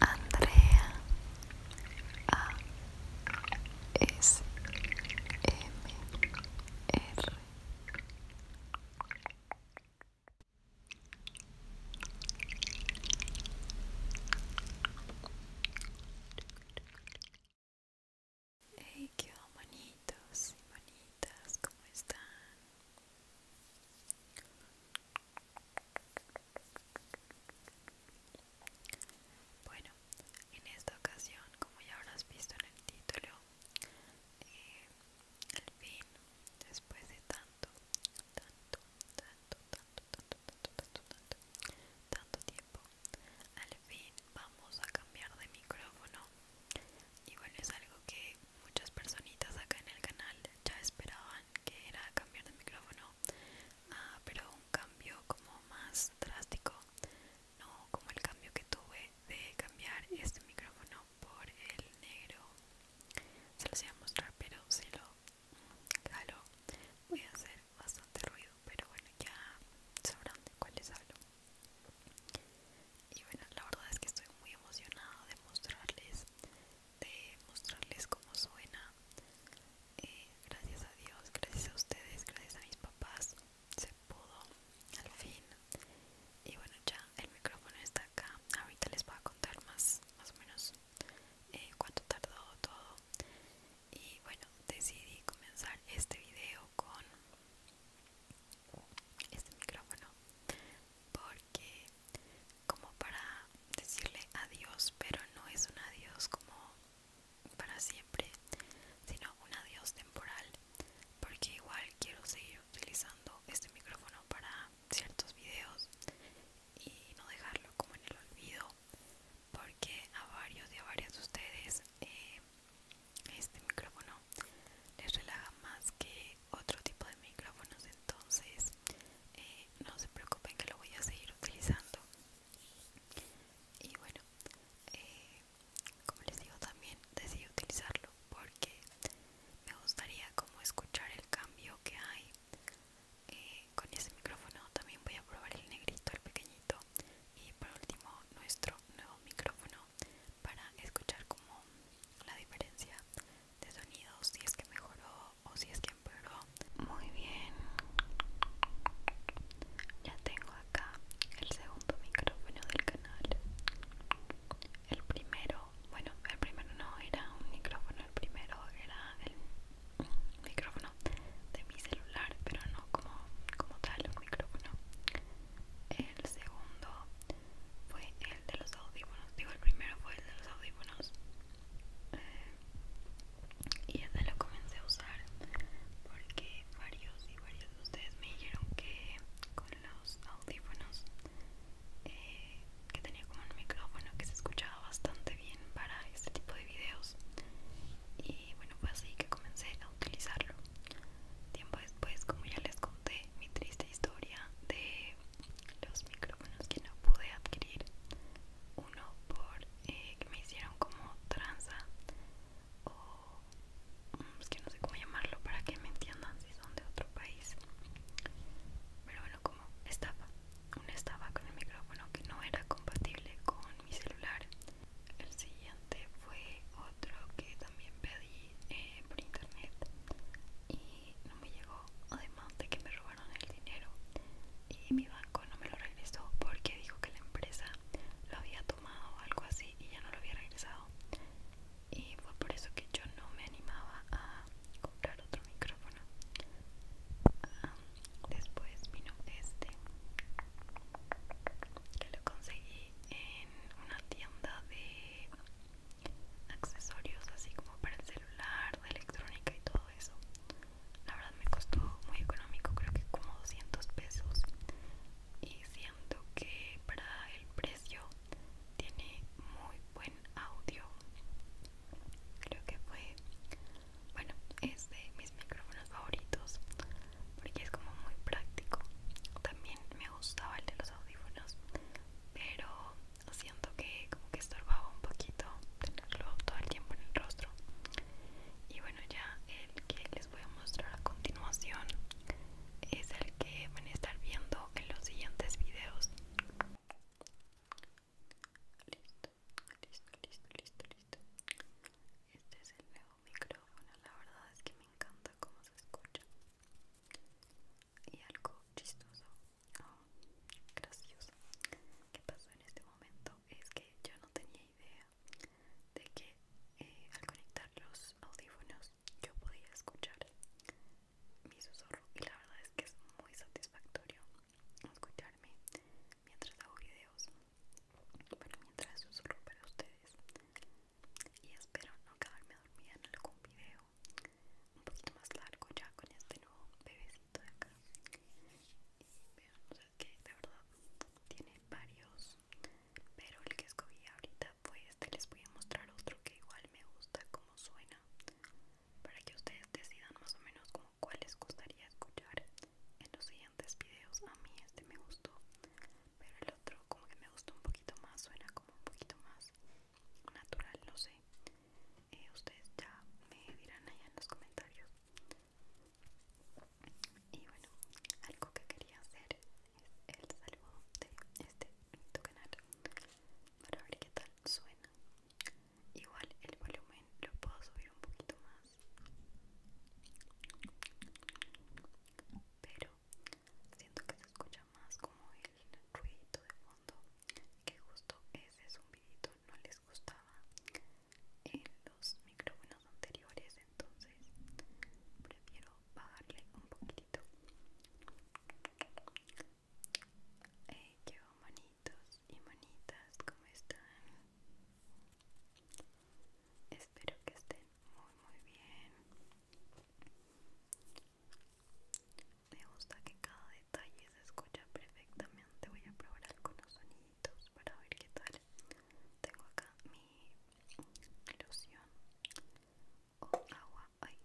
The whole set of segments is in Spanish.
Andrea A M R Hey, qué bonitos y bonitas, ¿cómo están? Bueno, en esta ocasión, como ya habrás visto en el título, al eh, fin, después de tanto, tanto, tanto, tanto, tanto, tanto, tanto, tanto, tanto tiempo, al fin vamos a cambiar de micrófono y bueno, es algo que muchas personitas acá en el canal ya esperaban que era cambiar de micrófono, ah, pero un cambio como más drástico, no como el cambio que tuve de cambiar este micrófono por el negro. Se los iba a mostrar, pero si lo jalo voy a hacer bastante ruido, pero bueno, ya sabrán de es hablo y bueno la verdad es que estoy muy emocionada de mostrarles de mostrarles cómo suena eh, gracias a Dios gracias a ustedes gracias a mis papás se pudo al fin y bueno ya el micrófono está acá ahorita les voy a contar más más o menos eh, cuánto tardó todo y bueno decidí comenzar este video con este micrófono porque como para decirle adiós pero no es un adiós como para siempre sino un adiós temporal porque igual quiero seguir utilizando este micrófono para ciertos videos y no dejarlo como en el olvido porque a varios de a varias de ustedes eh, este micrófono les relaja más que otro tipo de micrófonos entonces eh, no se preocupen que lo voy a seguir utilizando y bueno eh, como les digo también decidí utilizarlo porque me gustaría como escuchar el cambio que hay eh, con ese micrófono también voy a probar el negrito el pequeñito y por último nuestro nuevo micrófono para escuchar como la diferencia de sonidos si es que mejoró o si es que empeoró muy bien ya tengo acá el segundo micrófono del canal el primero bueno el primero no era un micrófono el primero era el micrófono de mi celular pero no como, como tal un micrófono el segundo fue el de los audífonos digo el primero fue el de los audífonos eh, y desde lo comencé a usar porque varios y varios de ustedes me dijeron que con los audífonos eh, que tenía como un micrófono que se escuchaba bastante bien para este tipo de videos y bueno fue así que comencé a utilizarlo Tiempo después, como ya les conté, mi triste historia de los micrófonos que no pude adquirir. Uno por eh, que me hicieron como tranza o mm, es que no sé cómo llamarlo para que me entiendan si son de otro país. Pero bueno, como estaba una estaba con el micrófono que no era compatible con mi celular. El siguiente fue otro que también pedí eh, por internet y no me llegó, además de que me robaron el dinero y mi banco no me lo regresó porque dijo que la empresa lo había tomado o algo así y ya no lo había regresado y fue por eso que yo no me animaba a comprar otro micrófono ah, después vino este que lo conseguí en una tienda de accesorios así como para el celular, de electrónica y todo eso. La verdad me costó muy económico, creo que como 200 pesos. Y siento que para el precio tiene muy buen audio. Creo que fue, bueno, es de mis micrófonos favoritos porque es como muy práctico. También me me gustaba el de los audífonos pero siento que como que estorbaba un poquito tenerlo todo el tiempo en el rostro y bueno ya el que les voy a mostrar a continuación es el que van a estar viendo en los siguientes videos listo listo listo listo listo este es el nuevo micrófono la verdad es que me encanta cómo se escucha y algo chistoso oh, gracioso que pasó en este momento es que yo no tenía idea de que eh, al conectar los audífonos yo podía escuchar mi susurro y la verdad es que es muy satisfactorio escucharme mientras hago videos bueno mientras susurro para ustedes y espero no quedarme dormida en algún video un poquito más largo ya con este nuevo bebecito de acá y vean, que de verdad tiene varios pero el que escogí ahorita fue este les voy a mostrar otro que igual me gusta como suena para que ustedes decidan más o menos como cuál les gustaría escuchar en los siguientes videos a mí este me gustó pero el otro como que me gustó un poquito más suena un poquito más natural, no sé. Eh, ustedes ya me dirán allá en los comentarios. Y bueno, algo que quería hacer es el saludo de este tu canal para ver qué tal suena. Igual el volumen lo puedo subir un poquito más. Pero Siento que se escucha más como el ruidito de fondo, que justo ese zumbidito no les gustaba en los micrófonos anteriores, entonces prefiero bajarle un poquitito. Hey, eh, yo manitos y manitas, ¿cómo están? Espero que estén muy muy bien me gusta que cada detalle se escucha perfectamente. Voy a probar algunos sonidos para ver qué tal. Tengo acá mi ilusión o agua. Ay.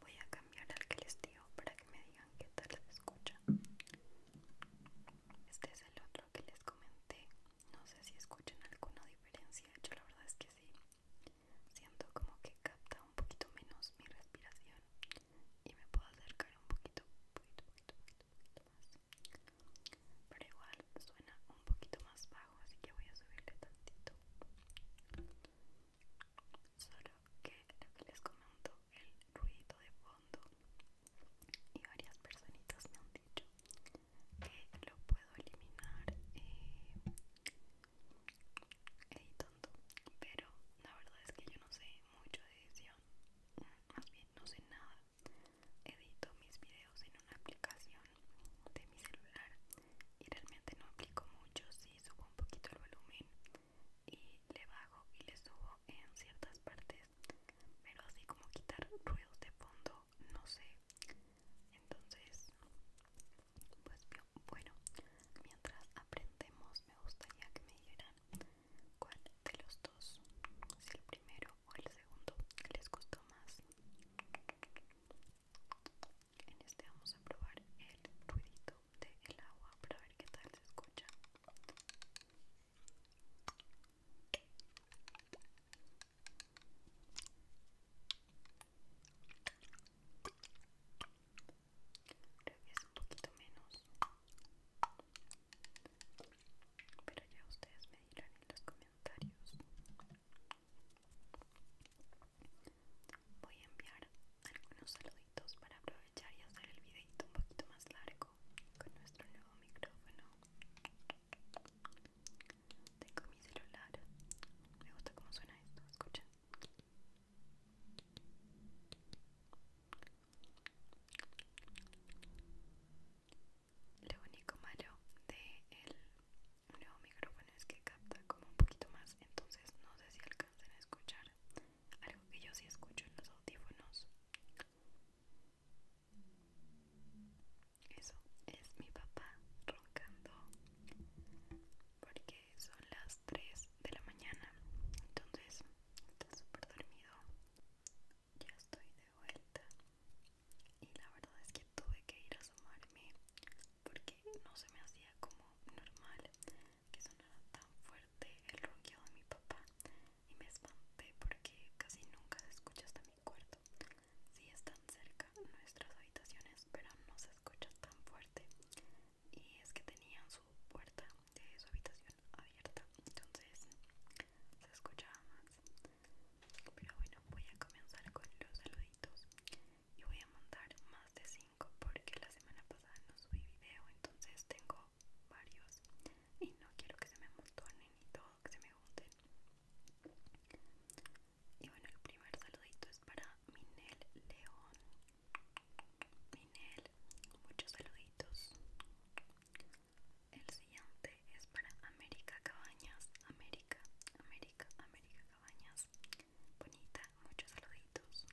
Voy a cambiar al que les digo para que me digan qué tal se escucha. Este es el otro que les comenté. No sé si escuchan alguna diferencia. Yo la verdad es que sí. Siento como que capta un poquito menos mi respiración y me puedo acercar un poquito, poquito, poquito, poquito más. Pero igual suena un poquito más bajo así que voy a subirle tantito solo que lo que les comento el ruido de fondo y varias personitas me han dicho que lo puedo eliminar eh, editando pero la verdad es que yo no sé mucho de edición mm, más bien no sé nada edito mis videos en una aplicación de mi celular y realmente no aplico mucho, sí subo un poquito el volumen y le bajo y le subo en ciertas partes, pero así como quitar ruidos de fondo, no sé. Entonces, pues bueno, mientras aprendemos me gustaría que me dijeran cuál de los dos, si el primero o el segundo les gustó más. En este vamos a probar el ruidito del el agua para ver qué tal se escucha. Creo que es un poquito menos. Pero ya ustedes me dirán en los comentarios. Voy a enviar algunos saluditos para aprovechar y hacer el videito un poquito más largo con nuestro nuevo micrófono. Tengo mi celular. Me gusta cómo suena esto, escuchen. Lo único malo de el un nuevo micrófono es que capta como un poquito más entonces no sé si alcanzan a escuchar algo que yo sí escucho en los audífonos eso es mi papá roncando porque son las 3 de la mañana entonces está súper dormido ya estoy de vuelta y la verdad es que tuve que ir a sumarme porque no se me hacía como normal que sonara tan fuerte el ronquido de mi papá y me espanté porque casi nunca se escucha hasta mi cuarto. Si están cerca nuestras habitaciones, pero no se escucha tan fuerte. Y es que tenían su puerta de su habitación abierta, entonces se escuchaba más. Pero bueno, voy a comenzar con los saluditos y voy a montar más de 5 porque la semana pasada no subí video, entonces tengo varios y no quiero que se me montonen y todo, que se me junten. Y bueno, el primer saludito es para Minel León. Minel, muchos saluditos. El siguiente es para América Cabañas. América, América. América, Cabañas. Bonita, muchos saluditos.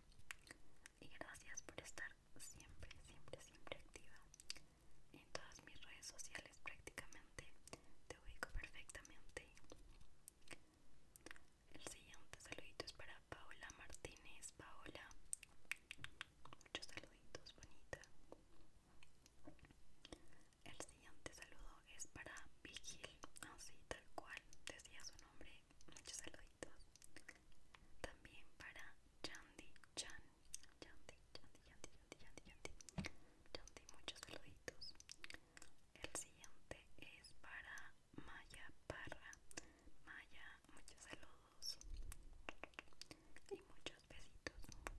Y gracias por estar siempre, siempre, siempre activa. En todas mis redes sociales prácticamente te ubico perfectamente. El siguiente saludito es para Paola Martínez. Paola, muchos saluditos, bonita. El siguiente saludo es para Vigil, así ah, tal cual decía su nombre. Muchos saluditos. También para Chandi Chan. Chandi, Chandi, Chandi, Chandi, Chandi, Chandi, Chandi, muchos saluditos. El siguiente es para Maya Parra. Maya, muchos saludos. Y muchos besitos.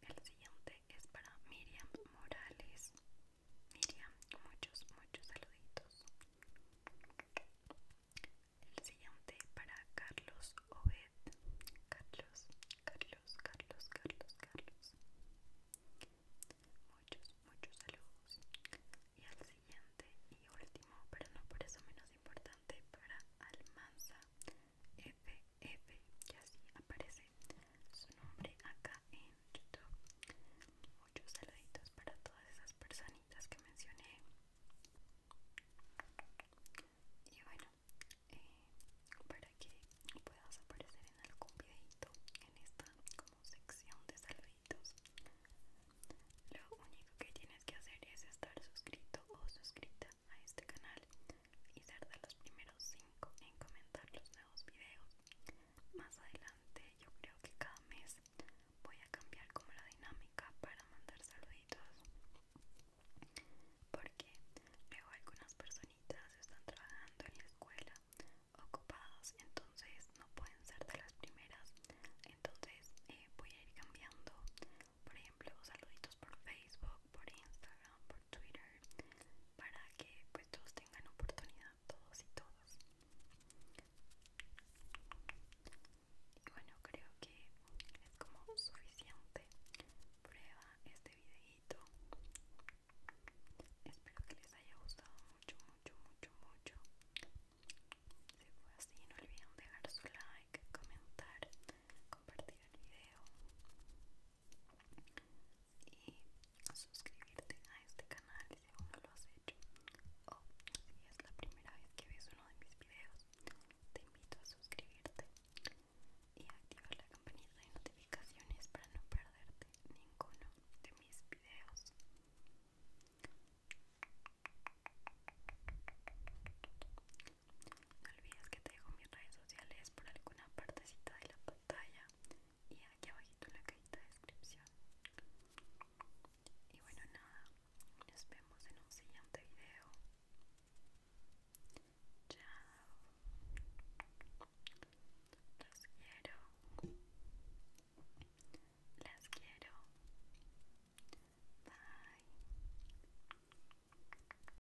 El siguiente es para Miriam Morales. Miriam, muchos, muchos saluditos. El siguiente para Carlos Obed. Carlos, Carlos, Carlos, Carlos, Carlos. Muchos, muchos saludos. Y el siguiente y último, pero no por eso menos importante, para Almanza F y así aparece su nombre acá en YouTube. Muchos saluditos para todas esas personitas que mencioné. Y bueno, eh, para que puedas aparecer en algún videito en esta como sección de saluditos, lo único que tienes que hacer es estar suscrito o suscrita a este canal y ser de los primeros 5 en comentar los nuevos videos. Más adelante yo creo que cada mes voy a cambiar como la dinámica para mandar saluditos. Porque luego algunas personitas están trabajando en la escuela, ocupados, entonces no pueden ser de las primeras. Entonces eh, voy a ir cambiando, por ejemplo, saluditos por Facebook por Instagram, por Twitter, para que pues todos tengan oportunidad, todos y todas. Y bueno, creo que es como suficiente. Prueba este videito. Espero que les haya gustado mucho, mucho, mucho, mucho. Si fue así, no olviden dejar su like, comentar, compartir el video y suscribirte a este canal si aún no lo has hecho o si es la primera vez que ves uno de mis videos te invito a suscribirte y activar la campanita de notificaciones para no perderte ninguno de mis videos no olvides que te dejo mis redes sociales por alguna partecita de la pantalla y aquí abajito en la cajita de descripción. Y bueno, nada, nos vemos en un siguiente video. Chao. Los quiero. Las quiero. Bye.